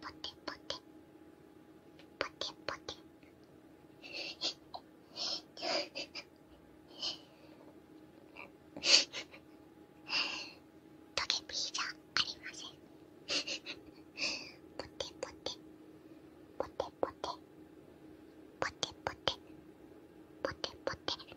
ポテポテポテポテトゲピーじゃありませんポテポテポテポテポテポテポテポテ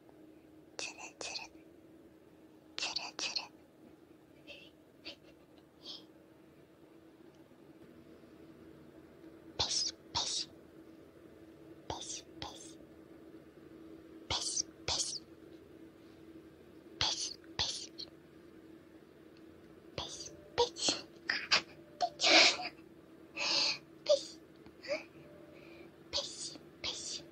つるつるつるつるペシペシペシペシペシペシペシペシペシペシあ出ちゃうペシペシペシ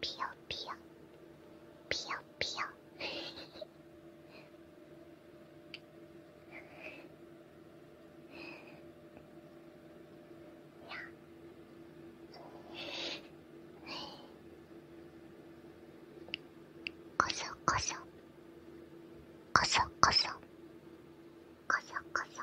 피어 피어 피어 피어 거서 거서 거서 거서 거서 거서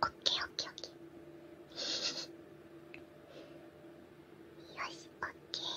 オッケーオッケーオッケーよしオッケーオッケー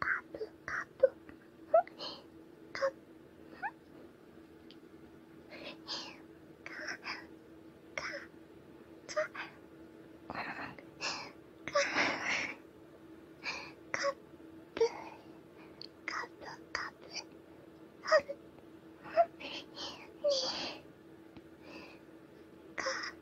プカプカッカカカカップカプカプハルねカ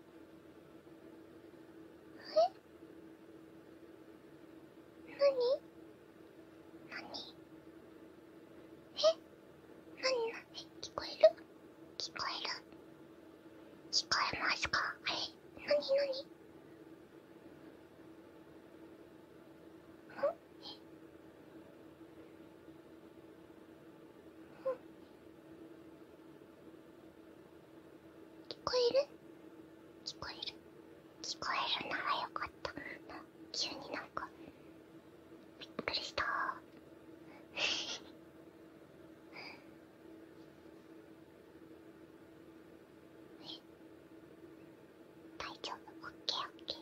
え何何えなに聞こえる聞こえる聞こえますかえ何ん。えっ。ん。聞こえる聞こえる聞こえるならよかったな急になんかびっくりしたー え大丈夫オッケーオッケー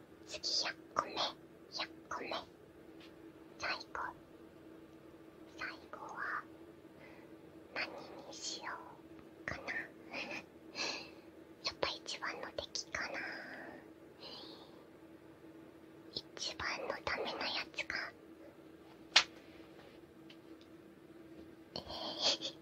次100個目100個目最後最後は何にしようかなやっぱ一番の敵かな一番のダメなやつかええ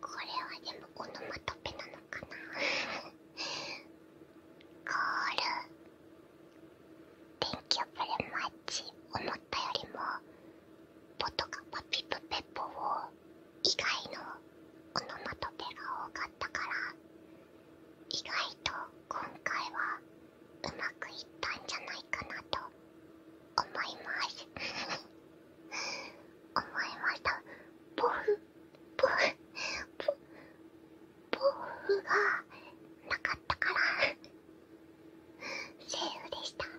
これはでもオノマトペなのかな ゴール電気をプレマッチ思ったよりもポとかパピプペポを以外のオノマトペが多かったから意外と今回はうまくいったんじゃないかなと思います 思いましたポフポフポポフがなかったから セーフでしたセ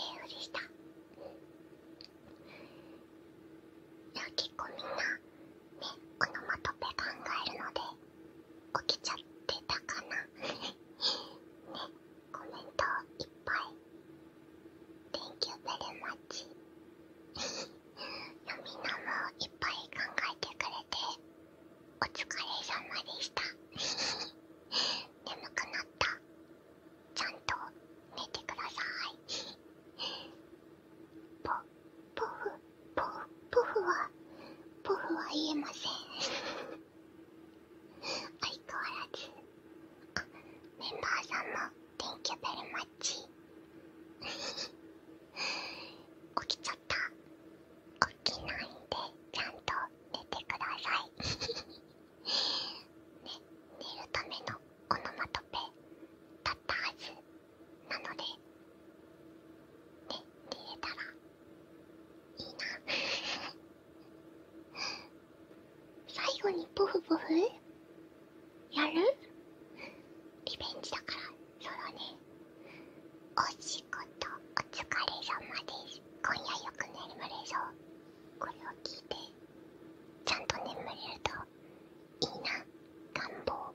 ーフでしたいや結構みんなねこのまとめ考えるので起きちゃってたかな ねっコメントいっぱい Thank you very much みんなもいっぱい考えてくれてお疲れ様でした 眠くなったちゃんと寝てくださいポポフポポフはポフは言えません相変わらずあメンバーさんも「Thank you very much」起きちゃった起きないんでちゃんと寝てください ね寝るためのオノマトペだったはずなのでね寝れたらいいな最後にポフポフやるリベンジだからそうだねお仕事お疲れ様です今夜よく眠れそうこれを聞いてちゃんと眠れるといいな願望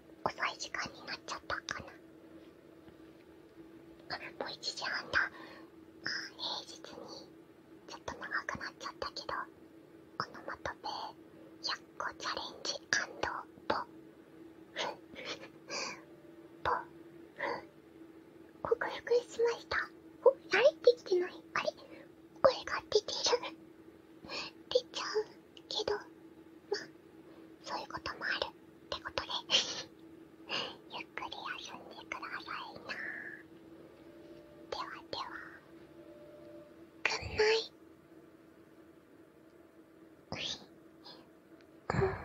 遅い時間になっちゃったかなあもう1時半だあ平日にちょっと長くなっちゃったけどこのまトペ100個チャレンジポフポフ克服しましたお慣れてきてないあれ声が出てる出ちゃうけど、まあ、そういうこともあるってことで ゆっくり休んでくださいなではではぐんないうんまああ